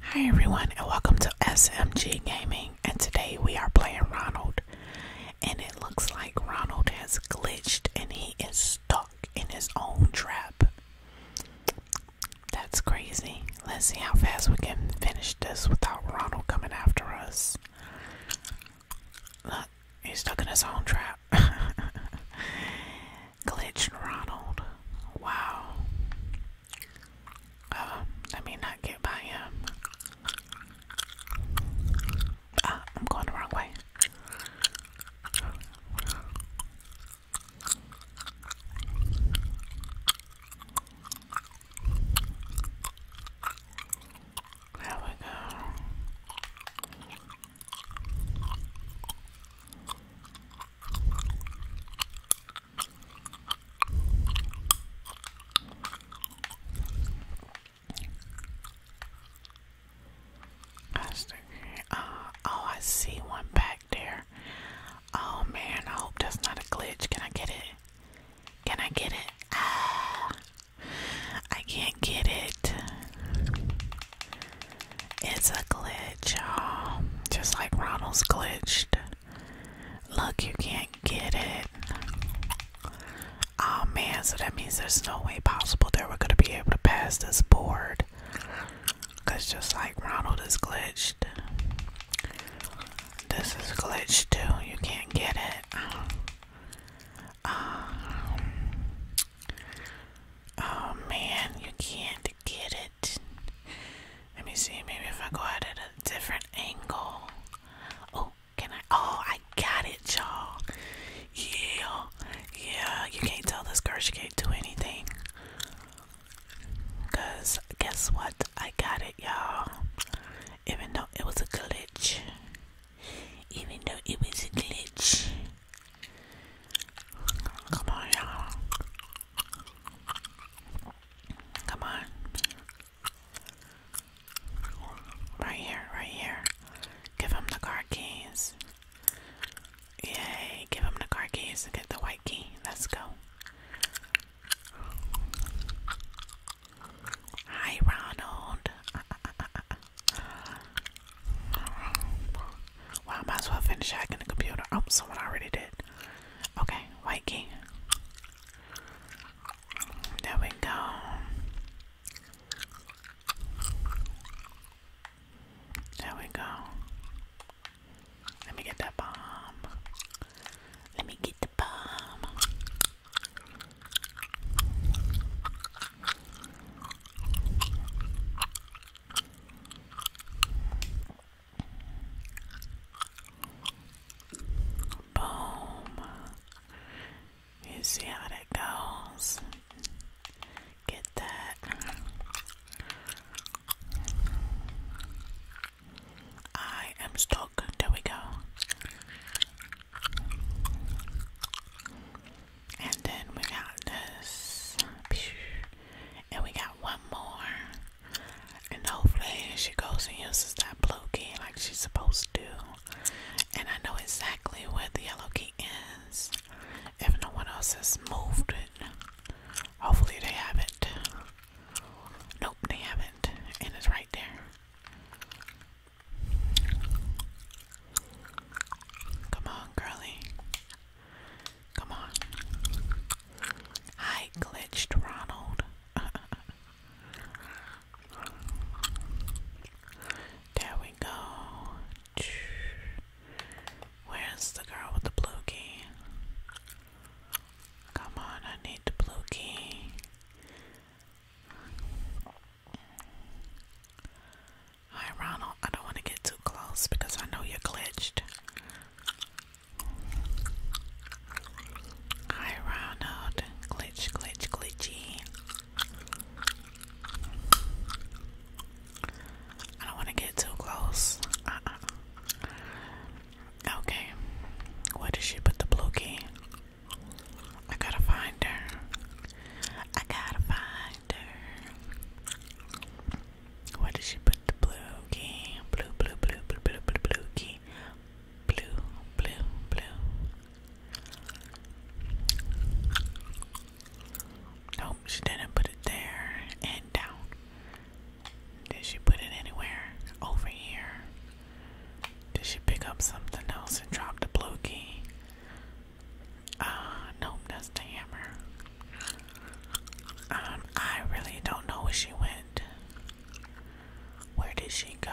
Hi everyone and welcome to SMG Gaming and today we are playing Ronald and it looks like Ronald has glitched and he is stuck in his own trap. That's crazy. Let's see how fast we can finish this without Ronald coming after us. Look, he's stuck in his own trap. Glitch Ronald. Wow. Uh, let me not get by him. Ah, I'm going the wrong way. There we go. Uh, oh, I see one back there. Oh man, I hope that's not a glitch. Can I get it? Can I get it? Ah, I can't get it. It's a glitch, Just like Ronald's glitched. Look, you can't get it. Oh man, so that means there's no way possible that we're gonna be able to pass this board. Cause just like Ronald is glitched, this is glitched too. You can't get it. Um, oh man, you can't get it. Let me see, maybe if I go out at a different angle. Oh, can I? Oh, I got it, y'all. Yeah, yeah, you can't tell this girl she can't do anything. Because guess what? I got it, y'all. Even though it was a glitch even though it was a glitch. Come on, y'all. Come on. Right here, right here. Give him the car keys. Yay, give him the car keys and get the white key. Let's go. Hi, Ronald. Well, I might as well finish hacking the computer. Oh, someone already did. Okay, White There we go. There we go. Let me get that bomb. Let me get Boom. You see how that goes. Get that. I am stuck. There we go. And then we got this. And we got one more. And hopefully she goes and uses that blue key like she's supposed to. And I know exactly where the yellow key is. If no one else has moved it. Hopefully they have not Nope, they haven't. And it's right there. Come on, girly. Come on. I glitched Ronald. there we go. Where's the girl with the blue key? Come on, I need the blue key. Hi, Ronald. I don't want to get too close because I know you're glitched. Hi, Ronald. Glitch, glitch, glitchy. I don't want to get too close. Uh-uh. Okay, where did she put the blue key? I gotta find her. I gotta find her. Where did she put the blue key? blue, blue, blue, blue, blue, blue key. Blue, blue, blue. No, she didn't put it there and down. Did she put it anywhere? Over here. Did she pick up something else and drop the blue key? Uh, nope, that's the hammer. Um, I really don't know where she went. Where did she go?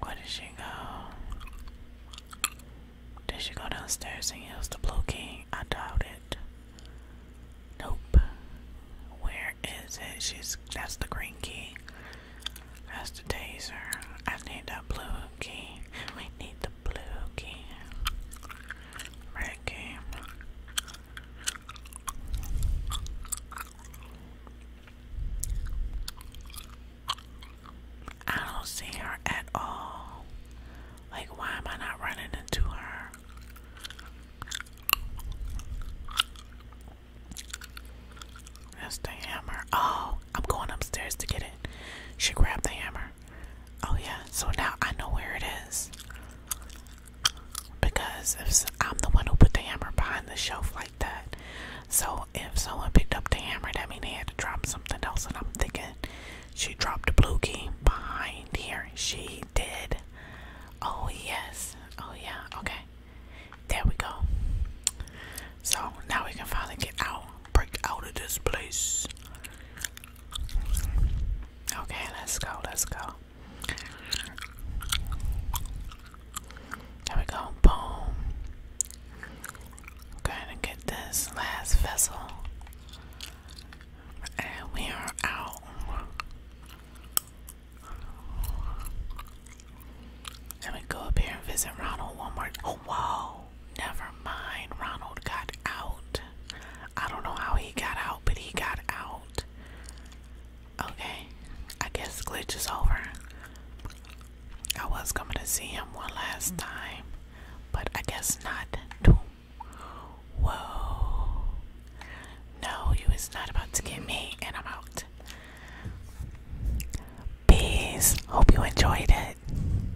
Where did she go? Did she go downstairs and use the blue key? I doubt it. Nope. Where is it? She's that's the green key. That's the taser. I need that blue key. We need the blue key. Red key. I don't see her at all. Like, why am I not running into her? That's the hammer. Oh, I'm going upstairs to get it. She grabbed the hammer. Oh, yeah, so now I know where it is because if I'm the one who put the hammer behind the shelf like that, so if someone picked up the hammer, that means they had to drop something else. And I'm thinking she dropped the blue key behind here. She did. Oh yes. Oh yeah. Okay. There we go. So now we can finally get out, break out of this place. Okay, let's go, let's go. There we go, boom. i to get this last vessel. And we are out. Let me go up here and visit Ronald one Oh, wow never mind. Ronald got out. I don't know how he got out, but he got out. Okay, I guess glitch is over. I was coming to see him one last time, but I guess not. Whoa. No, you is not about to get me, and I'm out. Peace. Hope you enjoyed it.